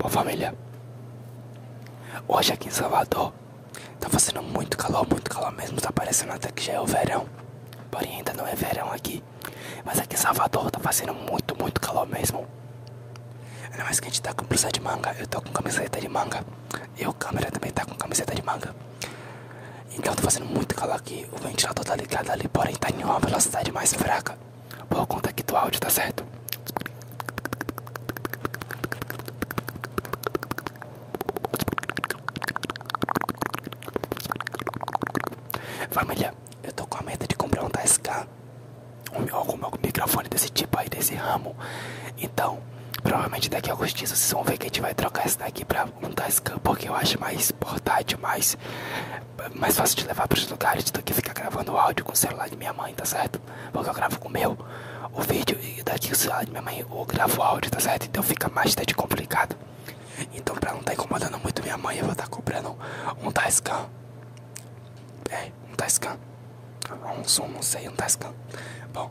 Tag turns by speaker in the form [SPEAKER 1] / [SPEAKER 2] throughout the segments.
[SPEAKER 1] Bom família, hoje aqui em Salvador Tá fazendo muito calor, muito calor mesmo. Tá parecendo até que já é o verão. Porém, ainda não é verão aqui. Mas aqui em Salvador tá fazendo muito, muito calor mesmo. Ainda mais que a gente tá com blusa de manga. Eu tô com camiseta de manga. E o câmera também tá com camiseta de manga. Então tá fazendo muito calor aqui. O ventilador tá ligado ali, porém tá em uma velocidade mais fraca. Por conta aqui do áudio, tá certo? Família, eu tô com a meta de comprar um 10k algum microfone desse tipo aí, desse ramo. Então, provavelmente daqui a alguns dias vocês vão ver que a gente vai trocar esse daqui pra um 10k, porque eu acho mais portátil, mais, mais fácil de levar pros lugares do que ficar gravando áudio com o celular de minha mãe, tá certo? Porque eu gravo com o meu o vídeo e daqui o celular de minha mãe eu gravo o áudio, tá certo? Então fica mais até tá de complicado. Então pra não estar tá incomodando muito minha mãe, eu vou estar tá comprando um Tascam. É, um Tascam. Um som não sei, um Tascam. Bom.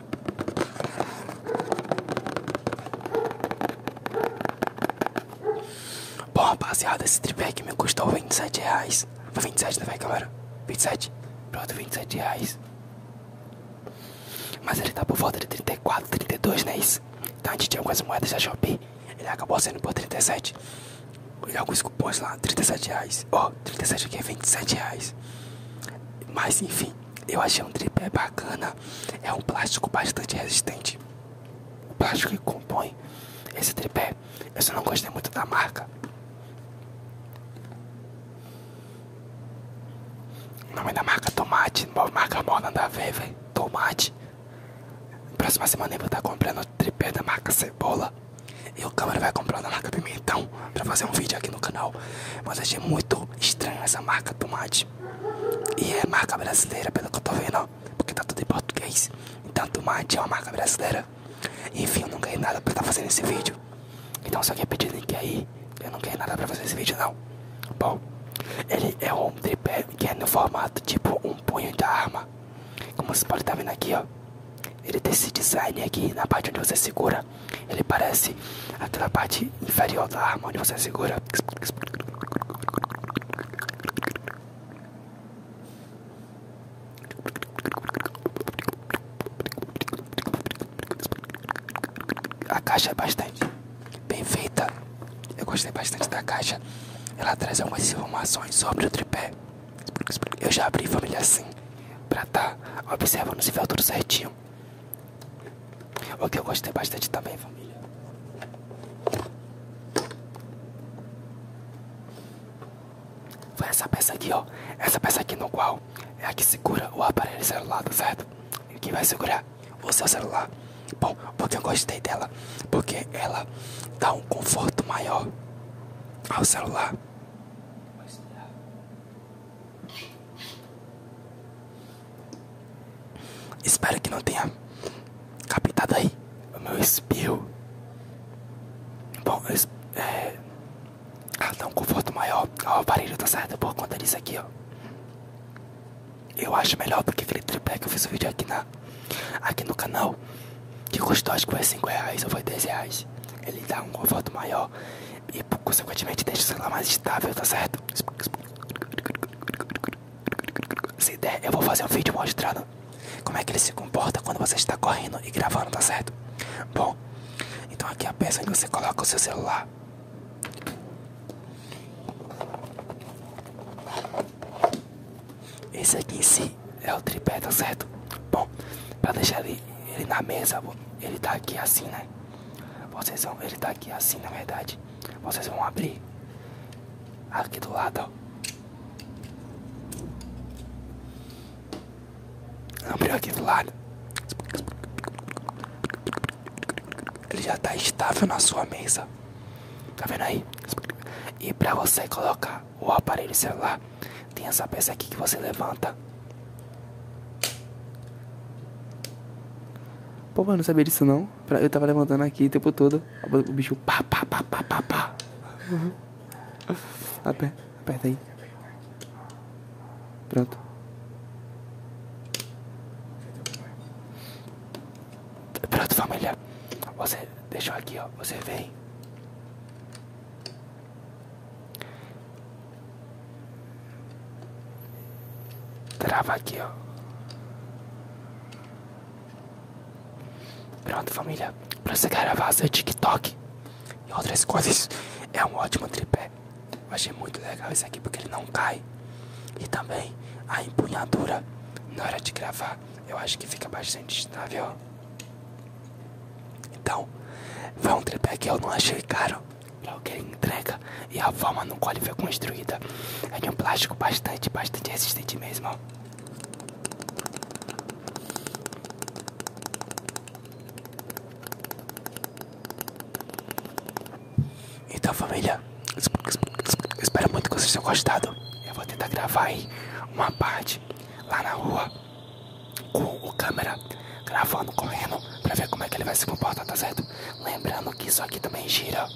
[SPEAKER 1] Bom, rapaziada, esse tripé aqui me custou 27 reais. Foi 27, não né, vai, galera? 27. Pronto, 27 reais. Mas ele tá por volta de 34, 32, né? Isso? Então a gente tinha algumas moedas já Shopee. Ele acabou sendo por 37. E alguns cupons lá, 37 reais. Ó, oh, 37 aqui é 27 reais. Mas enfim. Eu achei um tripé bacana. É um plástico bastante resistente. O plástico que compõe esse tripé. Eu só não gostei muito da marca. O nome da marca é Tomate. Marca mó da a ver, velho. Tomate. Próxima semana eu vou estar comprando o tripé da marca Cebola. E o câmera vai comprar da marca Pimentão para fazer um vídeo aqui no canal, mas achei muito estranho essa marca tomate. E é marca brasileira, pelo que eu tô vendo, porque tá tudo em português. Então tomate é uma marca brasileira. Enfim, eu não ganhei nada pra estar tá fazendo esse vídeo. Então só quer é pedir link aí, eu não ganhei nada pra fazer esse vídeo não. Bom, ele é um tripé que é no formato tipo um punho de arma. Como você pode estar tá vendo aqui, ó. Ele tem esse design aqui na parte onde você segura. Ele parece aquela parte inferior da arma onde você segura. A caixa é bastante bem feita. Eu gostei bastante da caixa. Ela traz algumas informações sobre o tripé. Eu já abri família assim. Pra tá observando se vê tudo certinho. O que eu gostei bastante também, família. Foi essa peça aqui, ó. Essa peça aqui no qual é a que segura o aparelho celular, tá certo? E que vai segurar o seu celular. Bom, porque eu gostei dela. Porque ela dá um conforto maior ao celular. Espero que não tenha capitado aí meu espirro. Bom, eu, é... Ah, dá tá um conforto maior ao aparelho, tá certo? Por conta disso aqui, ó. Eu acho melhor do que aquele tripé que eu fiz o vídeo aqui, na, aqui no canal que custou acho que foi 5 reais ou foi 10 reais. Ele dá um conforto maior e, consequentemente, deixa o celular mais estável, tá certo? Se der, eu vou fazer um vídeo mostrando como é que ele se comporta quando você está correndo e gravando, tá certo? Bom, então aqui é a peça onde você coloca o seu celular. Esse aqui em cima é o tripé, tá certo? Bom, pra deixar ele, ele na mesa, ele tá aqui assim, né? Vocês vão, ele tá aqui assim, na verdade. Vocês vão abrir aqui do lado, ó. Abriu aqui do lado. Ele já tá estável na sua mesa. Tá vendo aí? E pra você colocar o aparelho celular. Tem essa peça aqui que você levanta. Pô, mas não sabia disso não. Eu tava levantando aqui o tempo todo. O bicho pá, pá, pá, pá, pá, pá. Uhum. Aperta, aperta aí. Pronto. Pronto, família. Você deixou aqui, ó. Você vem. Trava aqui, ó. Pronto, família. Pra você gravar seu TikTok e outras coisas, é um ótimo tripé. Eu achei muito legal esse aqui porque ele não cai. E também a empunhadura na hora de gravar, eu acho que fica bastante estável. Então, foi um tripé que eu não achei caro para o que ele entrega e a forma no qual ele foi construída é de um plástico bastante, bastante resistente mesmo. Então, família, espero muito que vocês tenham gostado. Eu vou tentar gravar aí uma parte lá na rua com a câmera gravando, correndo pra ver como é que ele vai se comportar, tá certo? Lembrando que isso aqui também gira.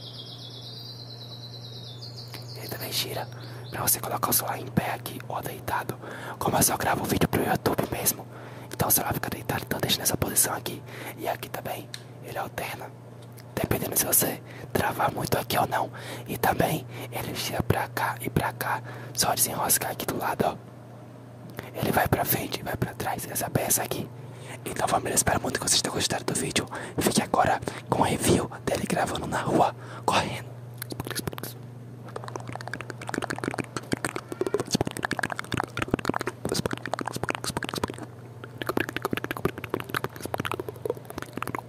[SPEAKER 1] Ele também gira pra você colocar o celular em pé aqui ou deitado. Como eu só gravo o vídeo pro YouTube mesmo, então o celular fica deitado, então deixa nessa posição aqui. E aqui também ele alterna, dependendo se você travar muito aqui ou não. E também ele gira pra cá e pra cá, só desenroscar aqui do lado, ó. Ele vai pra frente, e vai pra trás, essa peça aqui. Então família, espero muito que vocês tenham gostado do vídeo. Fique agora com o review dele gravando na rua, correndo.